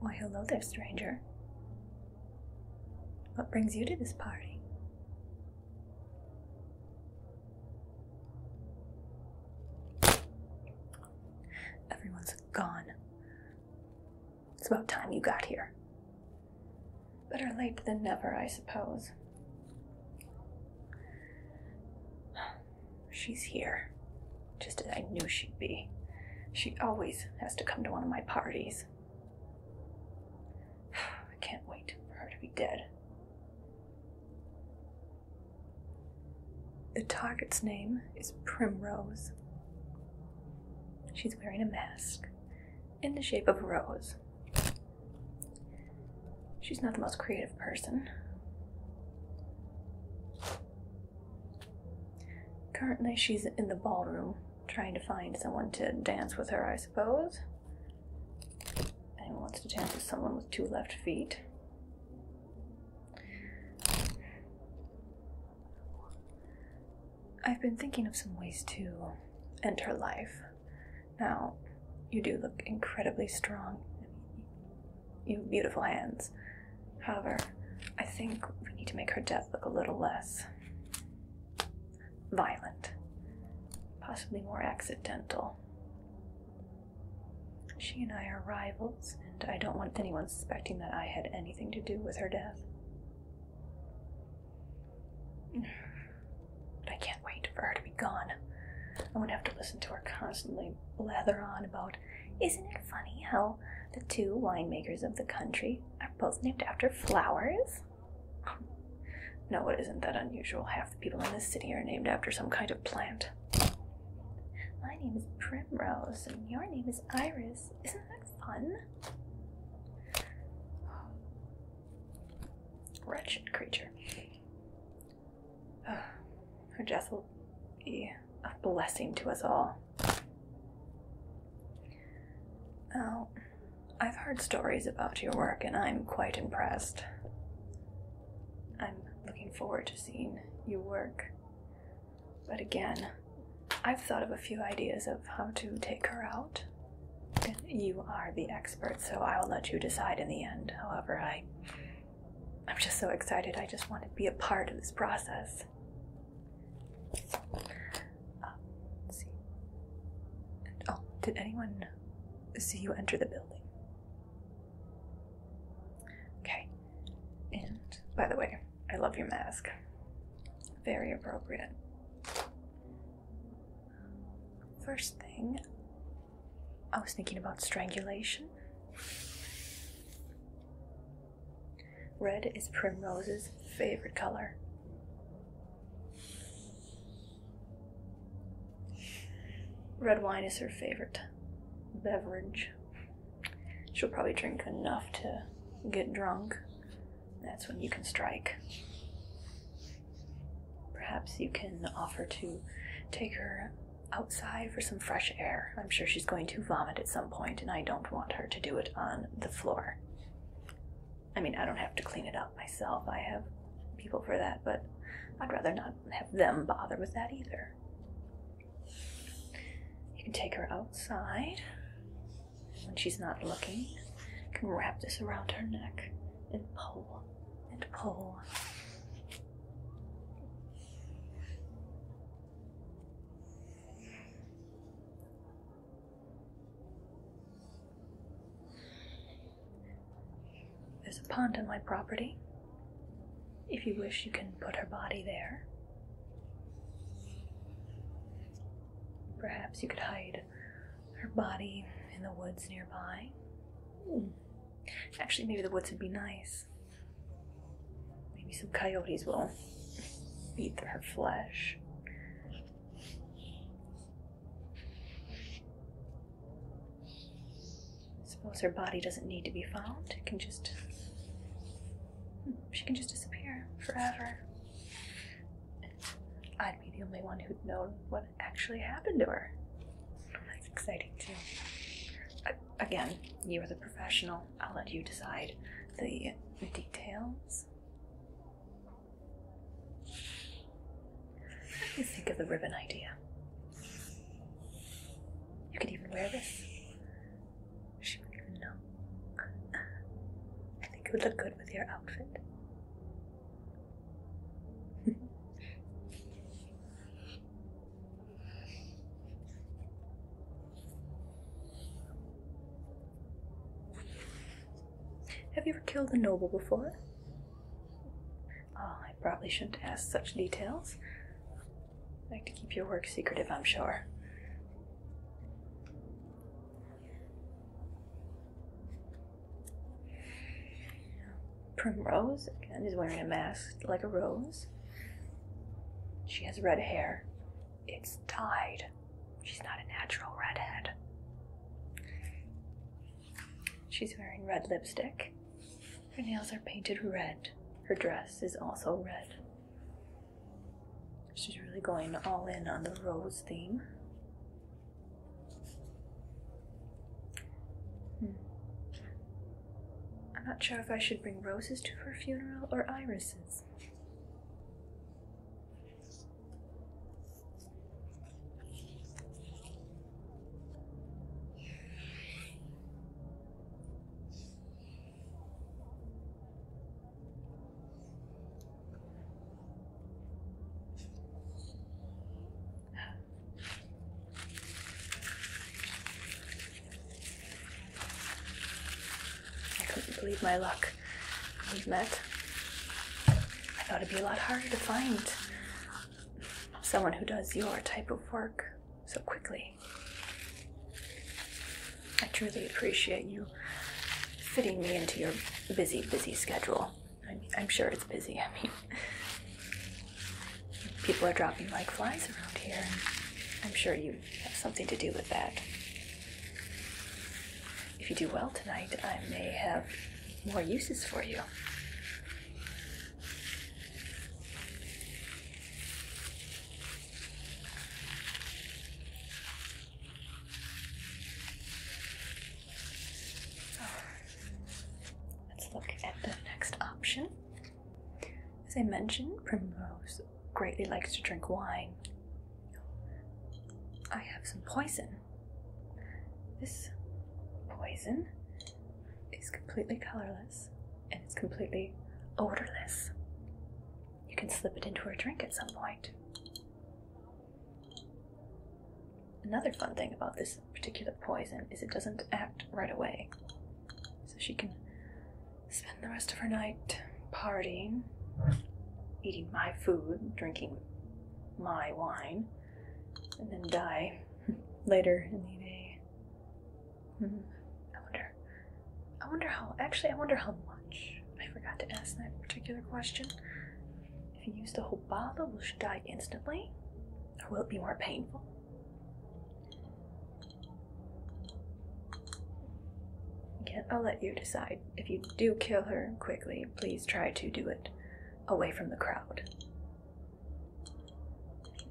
Why, hello there, stranger. What brings you to this party? Everyone's gone. It's about time you got here. Better late than never, I suppose. She's here, just as I knew she'd be. She always has to come to one of my parties. I can't wait for her to be dead. The target's name is Primrose. She's wearing a mask in the shape of a rose. She's not the most creative person. Currently, she's in the ballroom trying to find someone to dance with her, I suppose. anyone wants to dance with someone with two left feet. I've been thinking of some ways to enter life. Now, you do look incredibly strong. You have beautiful hands. However, I think we need to make her death look a little less violent, possibly more accidental. She and I are rivals, and I don't want anyone suspecting that I had anything to do with her death. But I can't wait for her to be gone. I'm gonna have to listen to her constantly blather on about, isn't it funny how the two winemakers of the country are both named after flowers? No, it isn't that unusual. Half the people in this city are named after some kind of plant. My name is Primrose, and your name is Iris. Isn't that fun? Wretched creature. Her death will be a blessing to us all. Oh, I've heard stories about your work and I'm quite impressed. I'm looking forward to seeing you work. But again, I've thought of a few ideas of how to take her out you are the expert, so I will let you decide in the end. However, I. I'm just so excited. I just want to be a part of this process. Uh, see. oh, did anyone see you enter the building? Okay. And by the way, I love your mask. Very appropriate. First thing, I was thinking about strangulation. Red is Primrose's favorite color. Red wine is her favorite beverage. She'll probably drink enough to get drunk. That's when you can strike. Perhaps you can offer to take her outside for some fresh air. I'm sure she's going to vomit at some point, and I don't want her to do it on the floor. I mean, I don't have to clean it up myself, I have people for that, but I'd rather not have them bother with that either. You can take her outside when she's not looking. You can wrap this around her neck and pull and pull. Oh. There's a pond on my property. If you wish, you can put her body there. Perhaps you could hide her body in the woods nearby. Mm. Actually, maybe the woods would be nice. Maybe some coyotes will eat her flesh. Suppose her body doesn't need to be found. It can just. Hmm, she can just disappear forever. I'd be the only one who'd know what actually happened to her. That's exciting too. Again, you are the professional. I'll let you decide the details. What do you think of the ribbon idea? You could even wear this. She wouldn't even know. I think it would look good with your outfit. Have you ever killed a noble before? Oh, I probably shouldn't ask such details. I like to keep your work secretive, I'm sure. Primrose, again, is wearing a mask like a rose. She has red hair. It's dyed. She's not a natural redhead. She's wearing red lipstick. Her nails are painted red. Her dress is also red. She's really going all in on the rose theme. Hmm. I'm not sure if I should bring roses to her funeral or irises. I couldn't believe my luck. We've met. I thought it'd be a lot harder to find someone who does your type of work so quickly. I truly appreciate you fitting me into your busy, busy schedule. I am sure it's busy. I mean, people are dropping like flies around here. I'm sure you have something to do with that. If you do well tonight, I may have more uses for you. Let's look at the next option. As I mentioned, Primrose greatly likes to drink wine. I have some poison. This poison is completely colorless and it's completely odorless. You can slip it into her drink at some point. Another fun thing about this particular poison is it doesn't act right away. So she can spend the rest of her night partying, eating my food, drinking my wine, and then die later in the day. Hmm. I wonder. I wonder how. Actually, I wonder how much. I forgot to ask that particular question. If you use the whole bottle, will she die instantly? or will it be more painful? Again, I'll let you decide. If you do kill her quickly, please try to do it away from the crowd.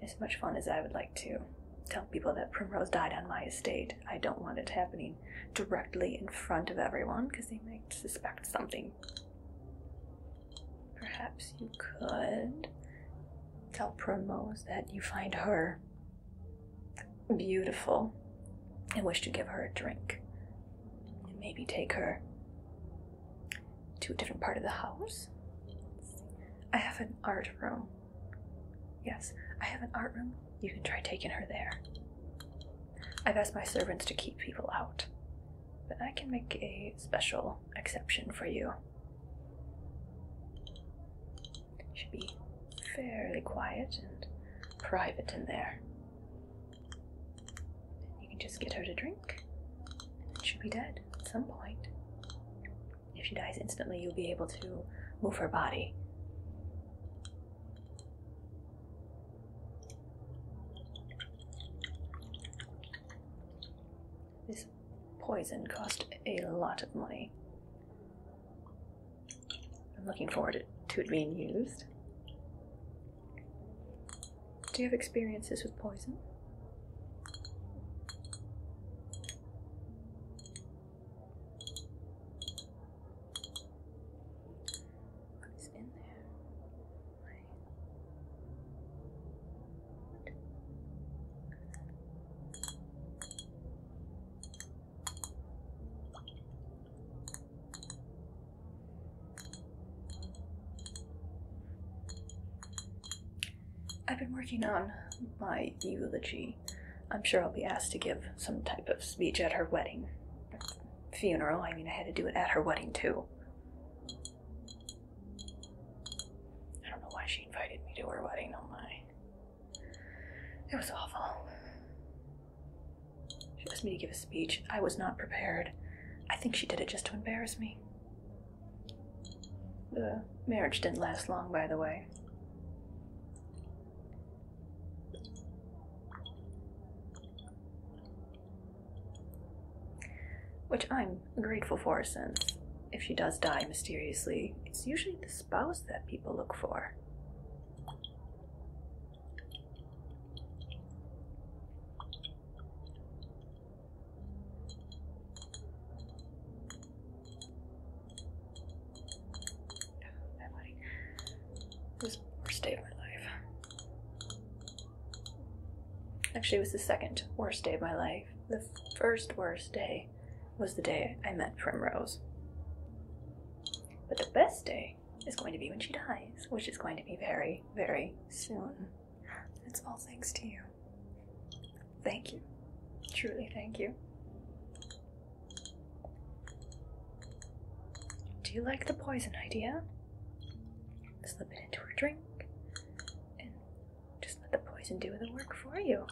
As much fun as I would like to tell people that Primrose died on my estate, I don't want it happening directly in front of everyone because they might suspect something. Perhaps you could tell Promos that you find her beautiful and wish to give her a drink. And maybe take her to a different part of the house. I have an art room. Yes, I have an art room. You can try taking her there. I've asked my servants to keep people out but I can make a special exception for you. Should be fairly quiet and private in there. You can just get her to drink, she'll be dead at some point. If she dies instantly, you'll be able to move her body. This poison cost a lot of money. I'm looking forward to it being used. Do you have experiences with poison? What is in there? I've been working on my eulogy. I'm sure I'll be asked to give some type of speech at her wedding. Funeral, I mean, I had to do it at her wedding too. I don't know why she invited me to her wedding. Oh lie. It was awful. She asked me to give a speech. I was not prepared. I think she did it just to embarrass me. The marriage didn't last long, by the way. Which I'm grateful for since if she does die mysteriously, it's usually the spouse that people look for. Oh, this is the worst day of my life. Actually, it was the second worst day of my life. The first worst day was the day I met Primrose. But the best day is going to be when she dies, which is going to be very, very soon. It's all thanks to you. Thank you. Truly, thank you. Do you like the poison idea? Slip it into her drink just let the poison do the work for you.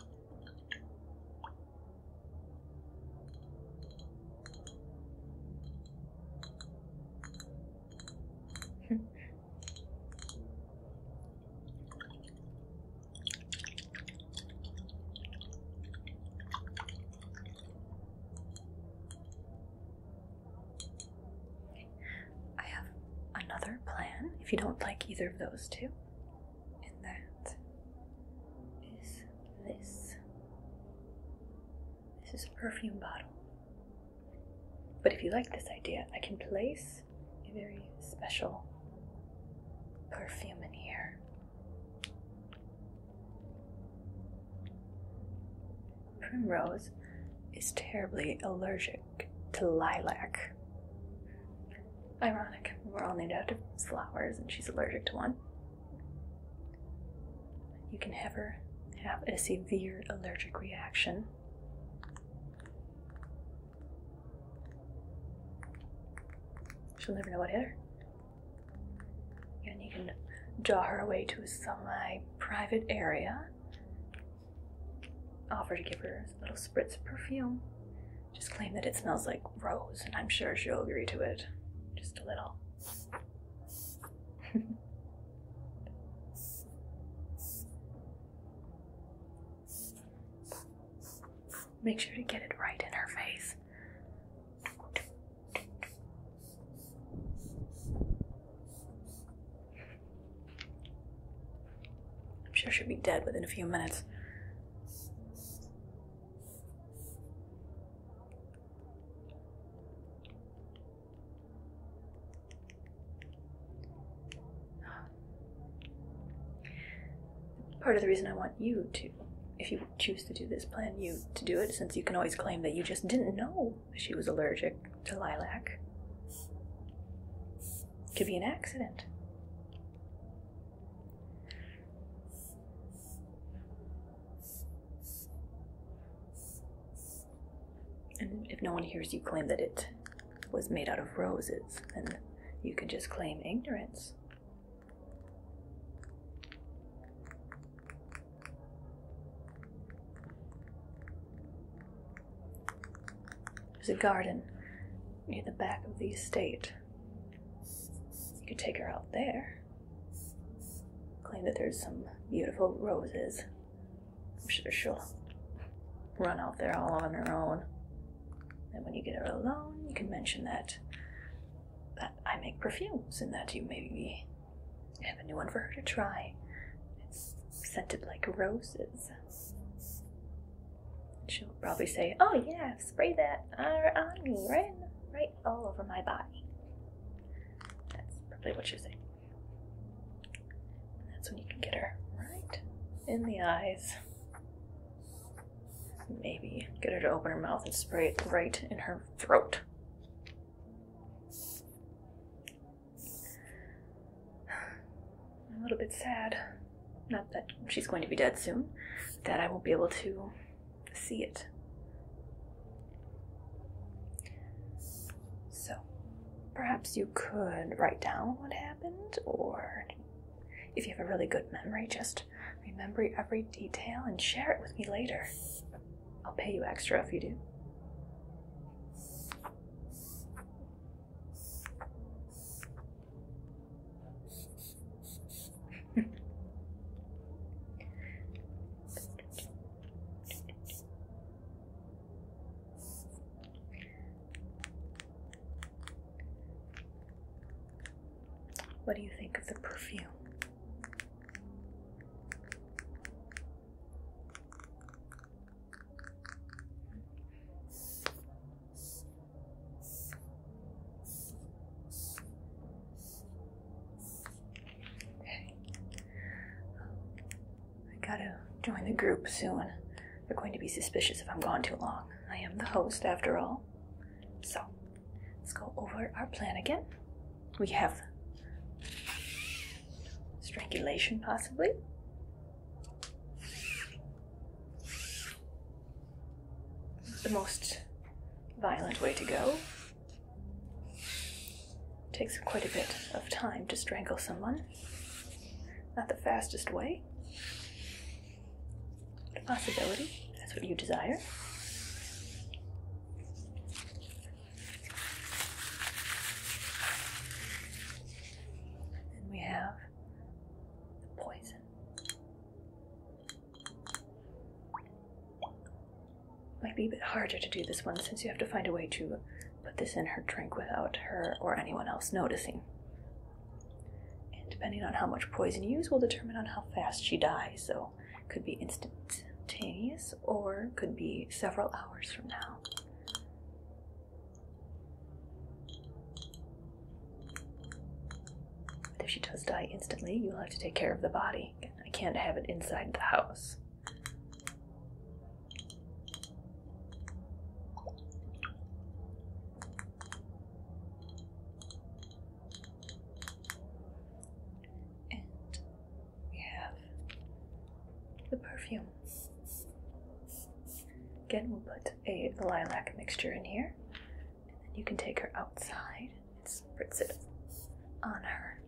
I have another plan if you don't like either of those two, and that is this. This is a perfume bottle. But if you like this idea, I can place a very special perfume in here. Primrose is terribly allergic to lilac. Ironic, we're all named after flowers, and she's allergic to one. You can have her have a severe allergic reaction. She'll never know what hit her. And you can draw her away to a semi private area offer to give her a little spritz of perfume. Just claim that it smells like rose, and I'm sure she'll agree to it. Just a little. Make sure to get it right in her face. I'm sure she'll be dead within a few minutes. Part of the reason I want you to, if you choose to do this, plan you to do it, since you can always claim that you just didn't know she was allergic to lilac. Could be an accident. And if no one hears you claim that it was made out of roses, then you can just claim ignorance. There's a garden near the back of the estate. You could take her out there. Claim that there's some beautiful roses. I'm sure she'll run out there all on her own. And when you get her alone, you can mention that that I make perfumes and that you maybe have a new one for her to try. It's scented like roses. She'll probably say, "Oh yeah, spray that on me, right, right all over my body." That's probably what she'll say. that's when you can get her right in the eyes. Maybe get her to open her mouth and spray it right in her throat. I'm a little bit sad. Not that she's going to be dead soon, but that I won't be able to see it. So, perhaps you could write down what happened, or if you have a really good memory, just remember every detail and share it with me later. I'll pay you extra if you do. What do you think of the perfume? Okay. I gotta join the group soon. They're going to be suspicious if I'm gone too long. I am the host, after all. So, let's go over our plan again. We have strangulation, possibly. The most violent way to go. Takes quite a bit of time to strangle someone. Not the fastest way. But possibility. That's what you desire. And we have the poison. Might be a bit harder to do this one since you have to find a way to put this in her drink without her or anyone else noticing. And depending on how much poison you use will determine on how fast she dies, so could be instantaneous or could be several hours from now. But if she does die instantly, you'll have to take care of the body. I can't have it inside the house. And we have the perfume. Again, we'll put a lilac mixture in here. And then you can take her outside and spritz it on her.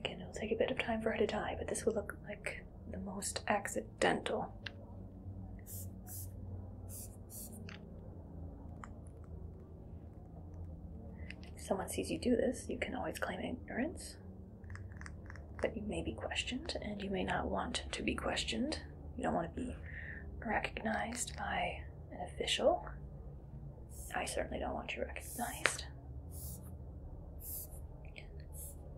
Again, it'll take a bit of time for her to die, but this will look like the most accidental. If someone sees you do this, you can always claim ignorance. But you may be questioned, and you may not want to be questioned. You don't want to be recognized by an official. I certainly don't want you recognized.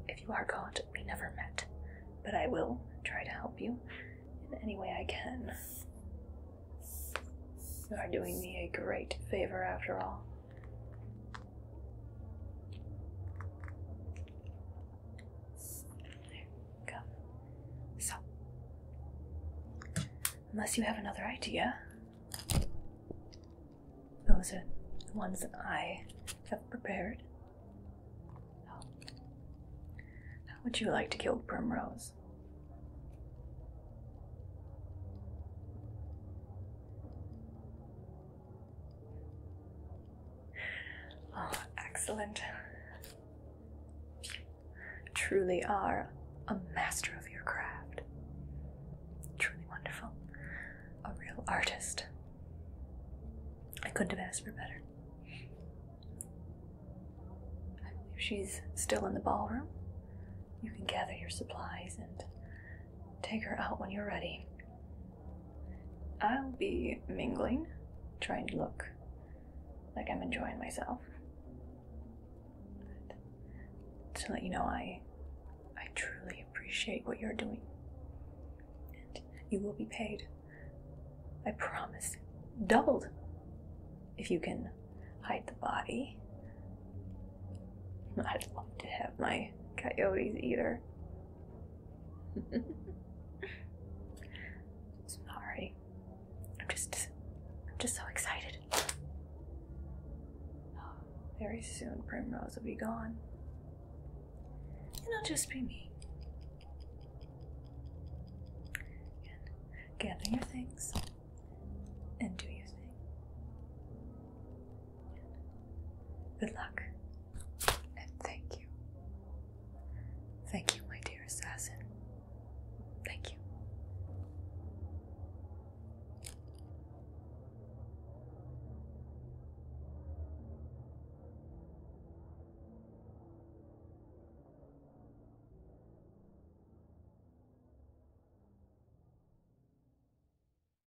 If you are caught, we never met, but I will try to help you in any way I can. You are doing me a great favor after all go. So, unless you have another idea, those are the ones that I have prepared. How would you like to kill Primrose? Oh, excellent. You truly are a master of your craft. Truly wonderful. A real artist. I couldn't have asked for better. I believe she's still in the ballroom. You can gather your supplies and Take her out when you're ready. I'll be mingling, trying to look like I'm enjoying myself. to let you know, I, I truly appreciate what you're doing, and you will be paid. I promise, doubled, if you can hide the body I'd love to have my coyotes eat her. Sorry. I'm just I'm just so excited. Very soon Primrose will be gone. And it'll just be me. And gather your things and do your thing. Good luck, and thank you. Thank you, my dear assassin. Thank you.